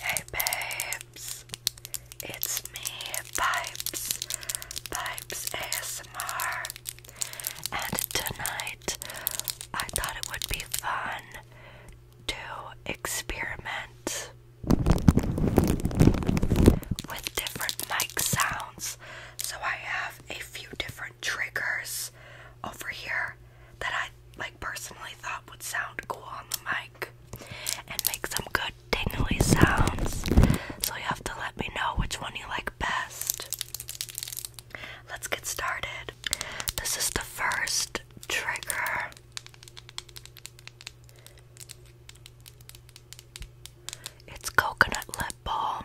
Hey babes, it's me, Pipes, Pipes ASMR, and tonight I thought it would be fun to experiment with different mic sounds. So I have a few different triggers over here that I like personally thought would sound cool on the mic and make some good tingly sounds. So you have to let me know which one you like best. Let's get started. This is the first trigger. It's coconut lip balm.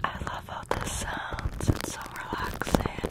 I love all the sounds, it's so relaxing.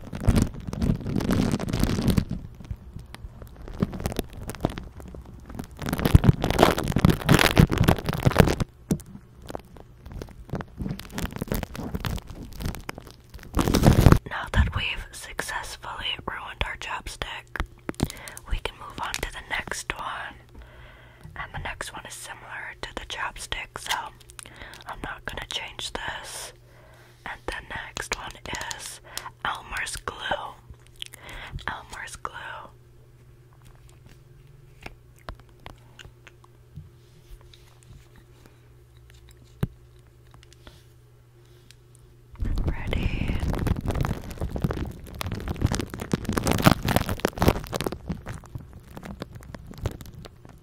Now that we've successfully ruined our chopstick, we can move on to the next one. And the next one is similar to the chopstick, so I'm not gonna change this. And the next one is Elmer's glue. Elmer's glue. Ready.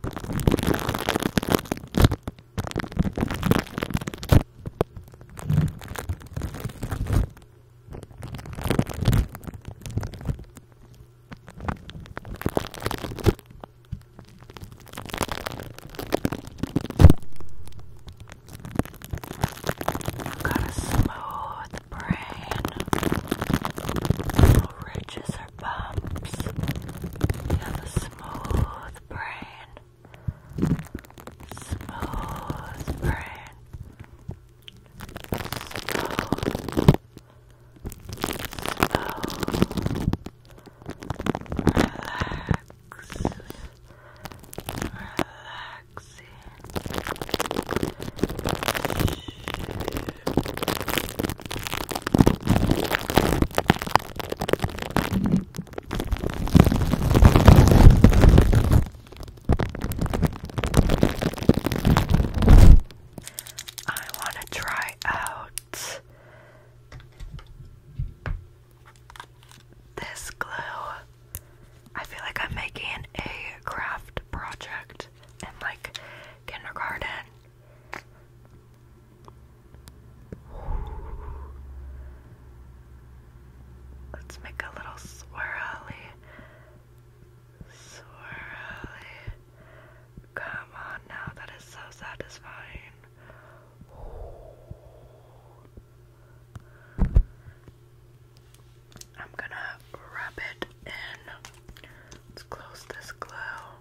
Got a smooth brain. Little ridges bumps. You have a smooth brain. Smooth brain. Smooth. Smooth. Relax. Relaxing. I want to try out this glue. I feel like I'm making a craft project in like kindergarten Let's make a little swirly. Swirly. Come on now, that is so satisfying. I'm gonna rub it in. Let's close this glue.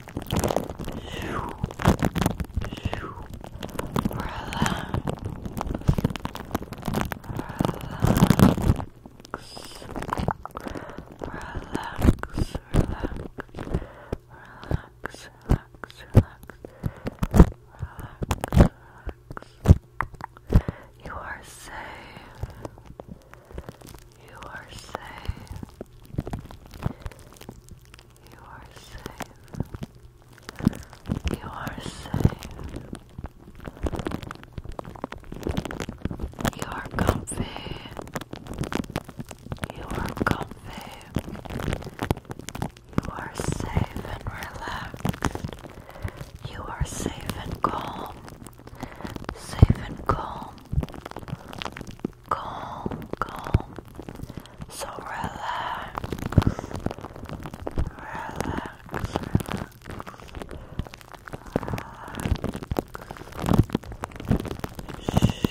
relax. You are safe. You are safe. You are safe. You are safe. You are comfy. You are comfy. You are safe and relaxed. You are safe and calm. Safe and calm calm, calm. So relax, relax, Shh. Shh.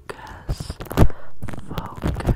focus, focus, focus.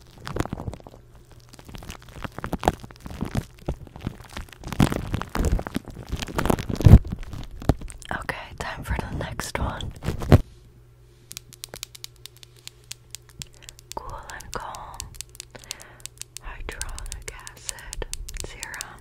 Okay, time for the next one. Cool and calm. Hyaluronic acid serum.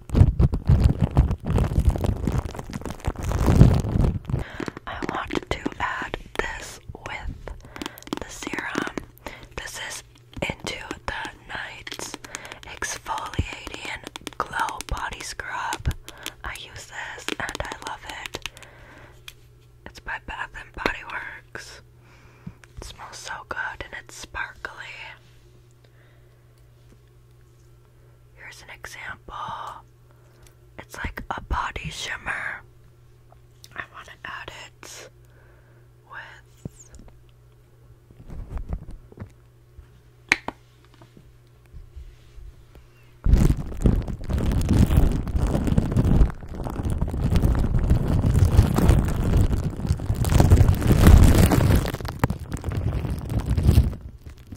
I want to add this with the serum. This is Into the Nights Exfoliating Glow Body Scrub. I use this and I love it. It's by Bath and Body Works. It smells so good and it's sparkly. Here's an example. It's like a body shimmer. I want to add it with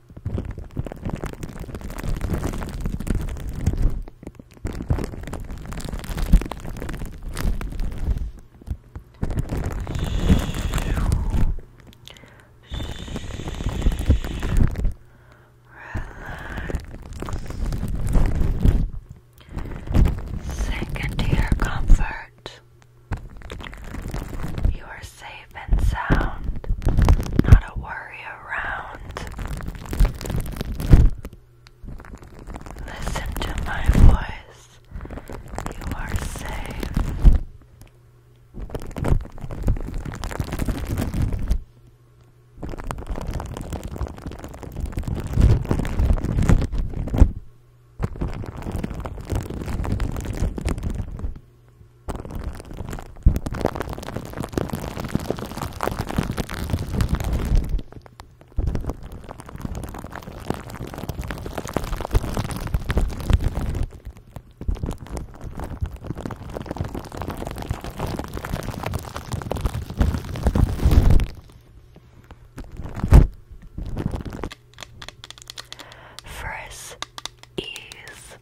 Relax. Sink into your comfort. You are safe and sound, not a worry around. Listen to my voice, you are safe. Frizz is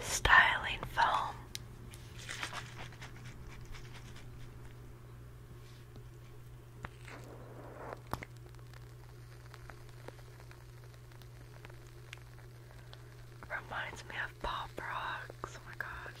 styling foam. Reminds me of Pop Rocks. Oh my gosh.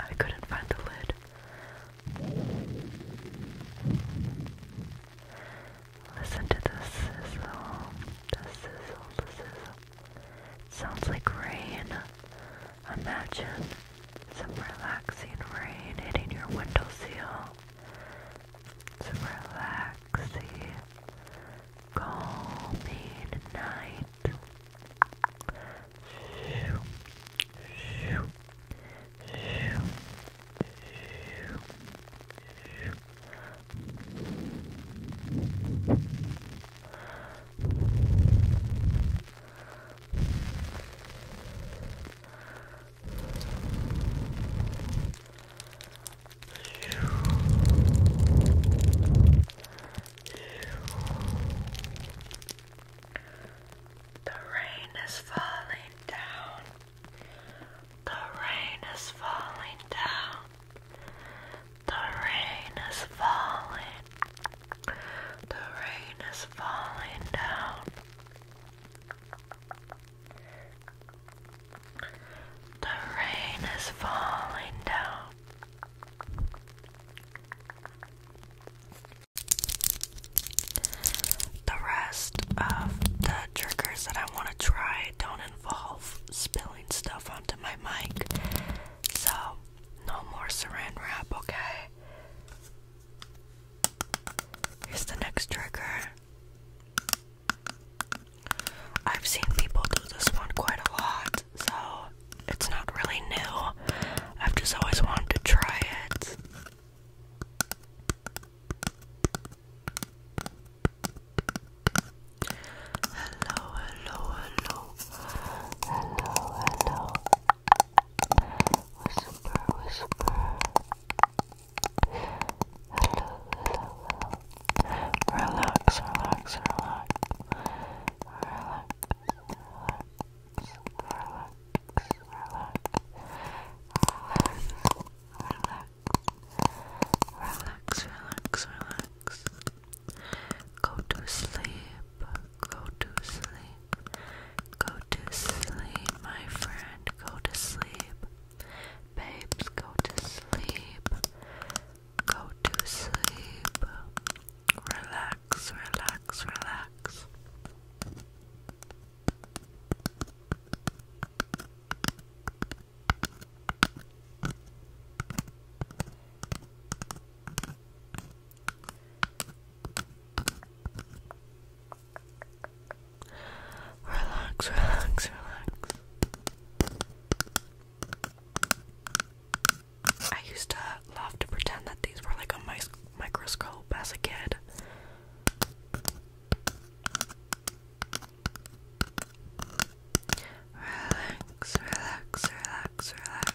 I couldn't find the lid. Listen to the sizzle, the sizzle, the sizzle. sounds like rain. Imagine some relaxing rain hitting your windowsill. Some relaxing Call me tonight. shoo, shoo, shoo, shoo. Shoo. The rain is falling down. The rain is falling down. The rain is falling. The rain is falling down. The rain is falling down. The rest of the triggers that I want to try don't involve spilling stuff onto my mic. So, no more saran wrap, okay? Here's the next trigger. I've seen people do this one quite a lot, so it's not really new. I've just always wanted to try it. Hello, hello, hello. Hello, Whisper, whisper hello, hello. Relax, relax. Relax, relax, relax, relax. Relax, relax, relax, relax. Go to sleep, go to sleep, go to sleep, my friend, go to sleep. Babes, go to sleep. Go to sleep. Relax, relax, relax. Relax, relax, relax. I used to love to pretend that these were like a microscope as a kid. Relax, relax, relax, relax.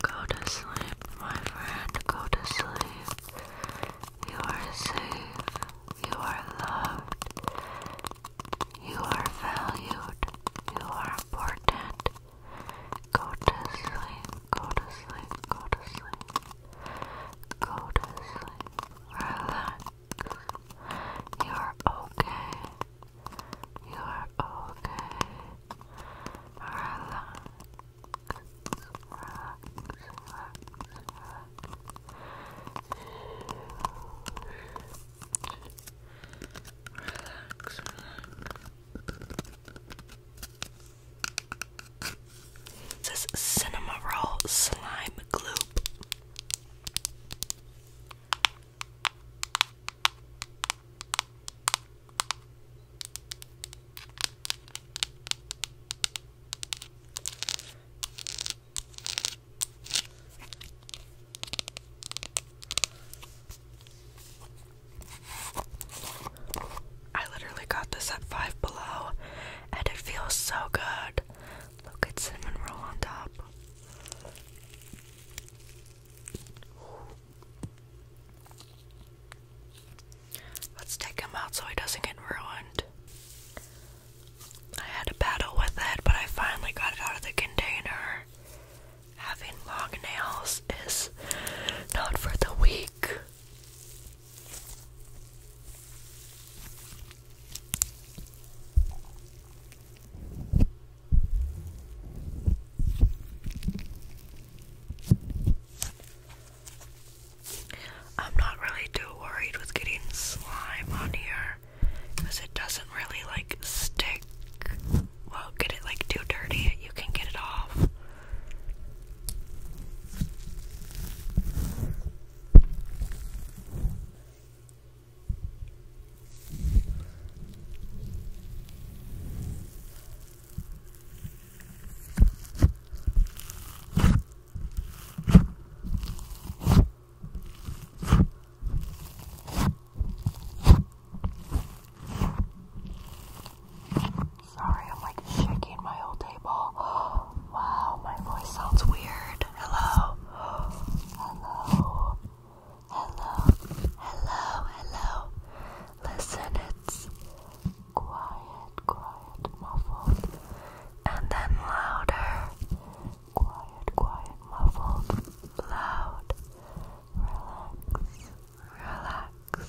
Go to sleep, my friend. Go to sleep. You are safe. You are loved. You are valued. You are important. Go to sleep. Go to sleep. Go to sleep. Go to sleep. Relax. You are okay. You are okay. Relax. Relax. Relax. Relax. Roll Slime Gloop. I literally got this at 5 below and it feels so good. Look at cinnamon roll on top. Let's take him out so he doesn't get ruined. I had a battle with it, but I finally got it out of the container. Having long nails is not for the weak. I'm not really too worried with getting slime on here because it doesn't really like stick. Well, get it like too dirty, you can get it off. Sorry, I'm like shaking my whole table. Wow, my voice sounds weird hello, hello, hello, hello, hello. Listen, it's quiet, quiet, muffled, and then louder. Quiet, quiet, muffled, loud. Relax, relax.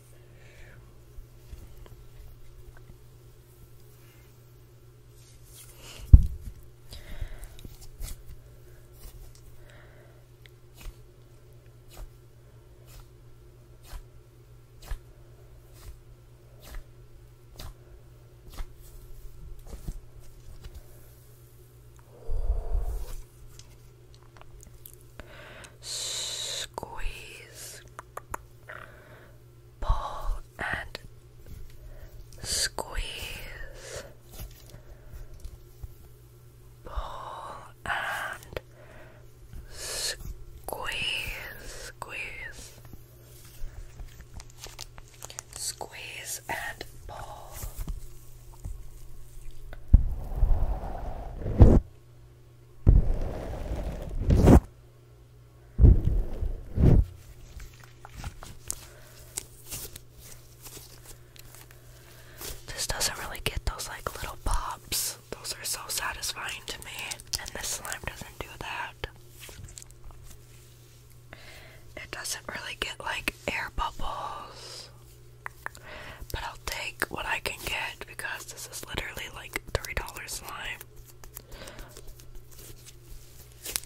Squeeze pull and squeeze, pull and squeeze, squeeze, squeeze and pull. This doesn't really get those like little pops. Those are so satisfying to me, and this slime doesn't do that. It doesn't really get like air bubbles, but I'll take what I can get because this is literally like $3 slime.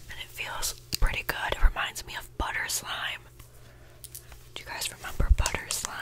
And it feels pretty good. It reminds me of butter slime. Do you guys remember butter slime?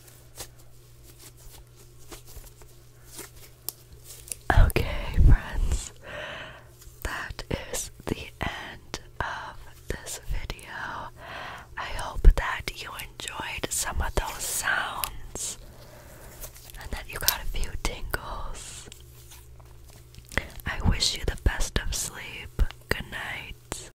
Okay, friends, that is the end of this video. I hope that you enjoyed some of those sounds and that you got a few tingles. I wish you the best of sleep. Good night.